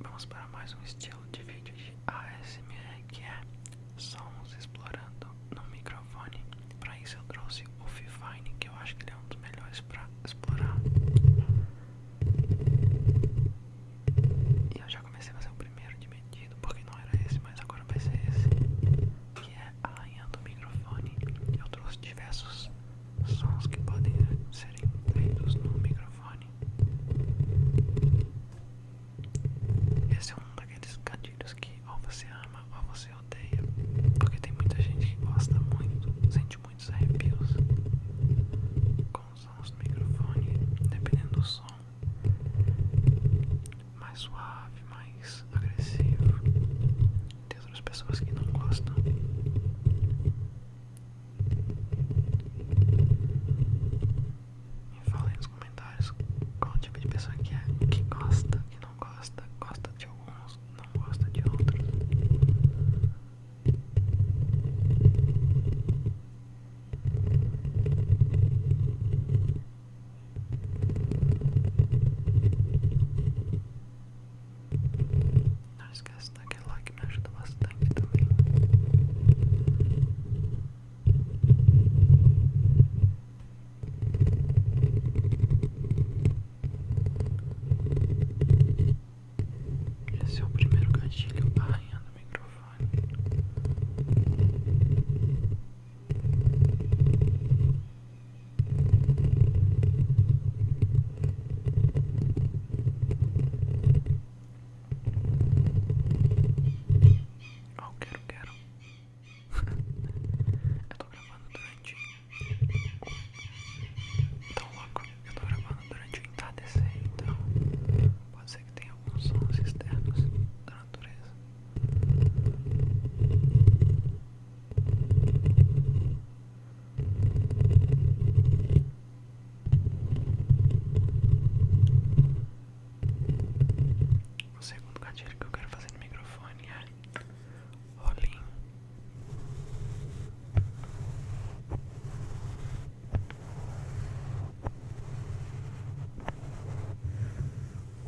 Vamos para mais um estilo de vídeo de ASMR que é sons explorando no microfone. Para isso eu trouxe o Fifine, que eu acho que ele é um dos melhores para explorar. E eu já comecei a fazer o primeiro de medido, porque não era esse, mas agora vai ser esse que é linha do microfone. Eu trouxe diversos sons que podem ser feitos no microfone. Esse é um daqueles gatilhos que ou você ama ou você odeia, porque tem muita gente que gosta muito, sente muitos arrepios com os sons do microfone, dependendo do som. Mais suave, mais agressivo, tem outras pessoas que não gostam. Me falem nos comentários qual tipo de pessoa que é, que gosta, que não gosta, gosta de alguns, não gosta de outros. Não esquece daquele like, me ajuda bastante também. Esse é o primeiro gatilho arranhando o microfone. Oh, quero, quero. eu tô gravando durante. Então, logo eu tô gravando durante o entardecer. Então, pode ser que tenha alguns sons externos da natureza. O segundo gatilho que eu quero fazer no microfone é rolinho.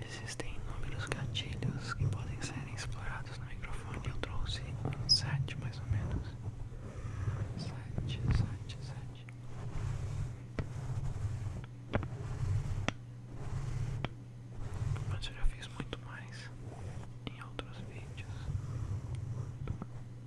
Existem inúmeros gatilhos que podem ser explorados no microfone. Eu trouxe sete mais ou menos. Sete, sete, sete. Mas eu já fiz muito mais em outros vídeos.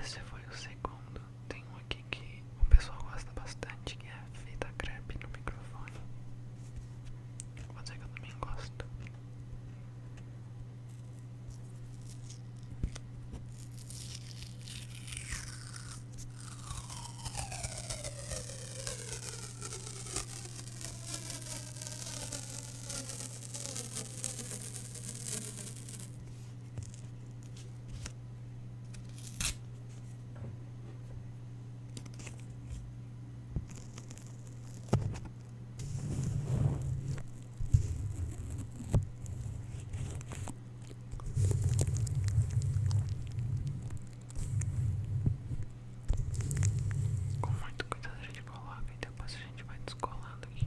Esse foi o segundo. Tem um aqui que o pessoal gosta bastante, que é a fita crepe no microfone. Mas é que eu também gosto. Com muito cuidado a gente coloca e depois a gente vai descolando aqui.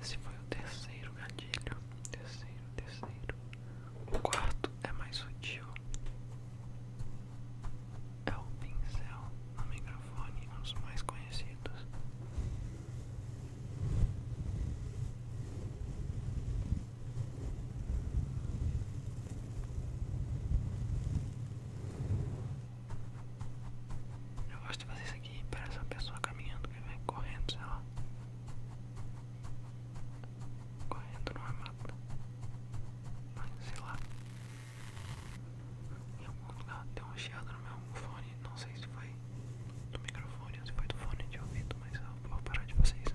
Esse foi o terceiro gatilho. Terceiro, terceiro. O quarto é mais sutil. É o pincel no microfone, um dos mais conhecidos. Eu gosto de fazer isso aqui, parece uma pessoa caminhando, que vem correndo, sei lá. Correndo não é mata. Mas sei lá. Em algum lugar deu uma chiada no meu fone, não sei se foi do microfone ou se foi do fone de ouvido, mas eu vou parar de fazer isso.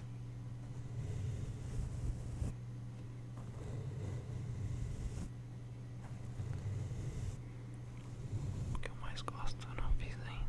O que eu mais gosto eu não fiz ainda.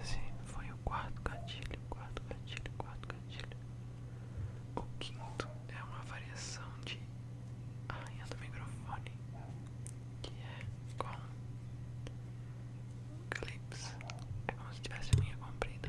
Esse foi o quarto gatilho, quarto gatilho, quarto gatilho. O quinto é uma variação de rainha do microfone, que é com clips. É como se tivesse linha comprida.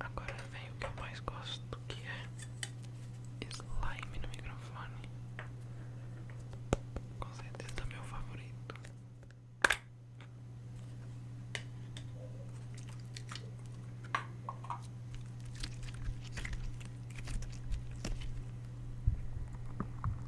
Agora vem o que eu mais gosto, que é slime no microfone. Com certeza é meu favorito.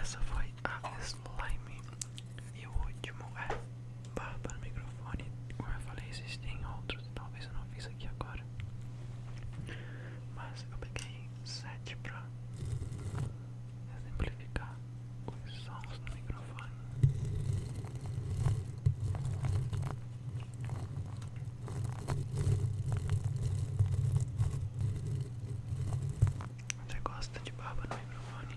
Essa foi a ah, Slime. E o último é para o microfone. Como eu falei, existem outros, talvez eu não fiz aqui agora. Mas eu peguei 7 para exemplificar os sons no microfone. Você gosta de barba no microfone?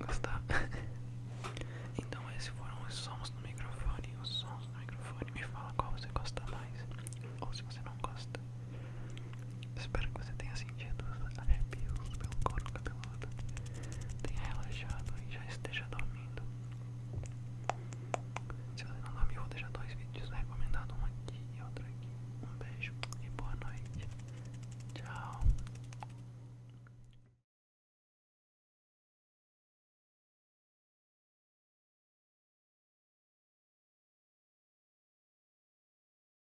Gostar? então esses foram os sons no microfone, os sons no microfone. Me fala qual você gosta mais ou se você não gosta. Espero que você tenha sentido os arrepios pelo couro cabeludo, tenha relaxado e já esteja dormindo. Se você não dormir vou deixar dois vídeos recomendados, um aqui e outro aqui. Um beijo e boa noite. Tchau.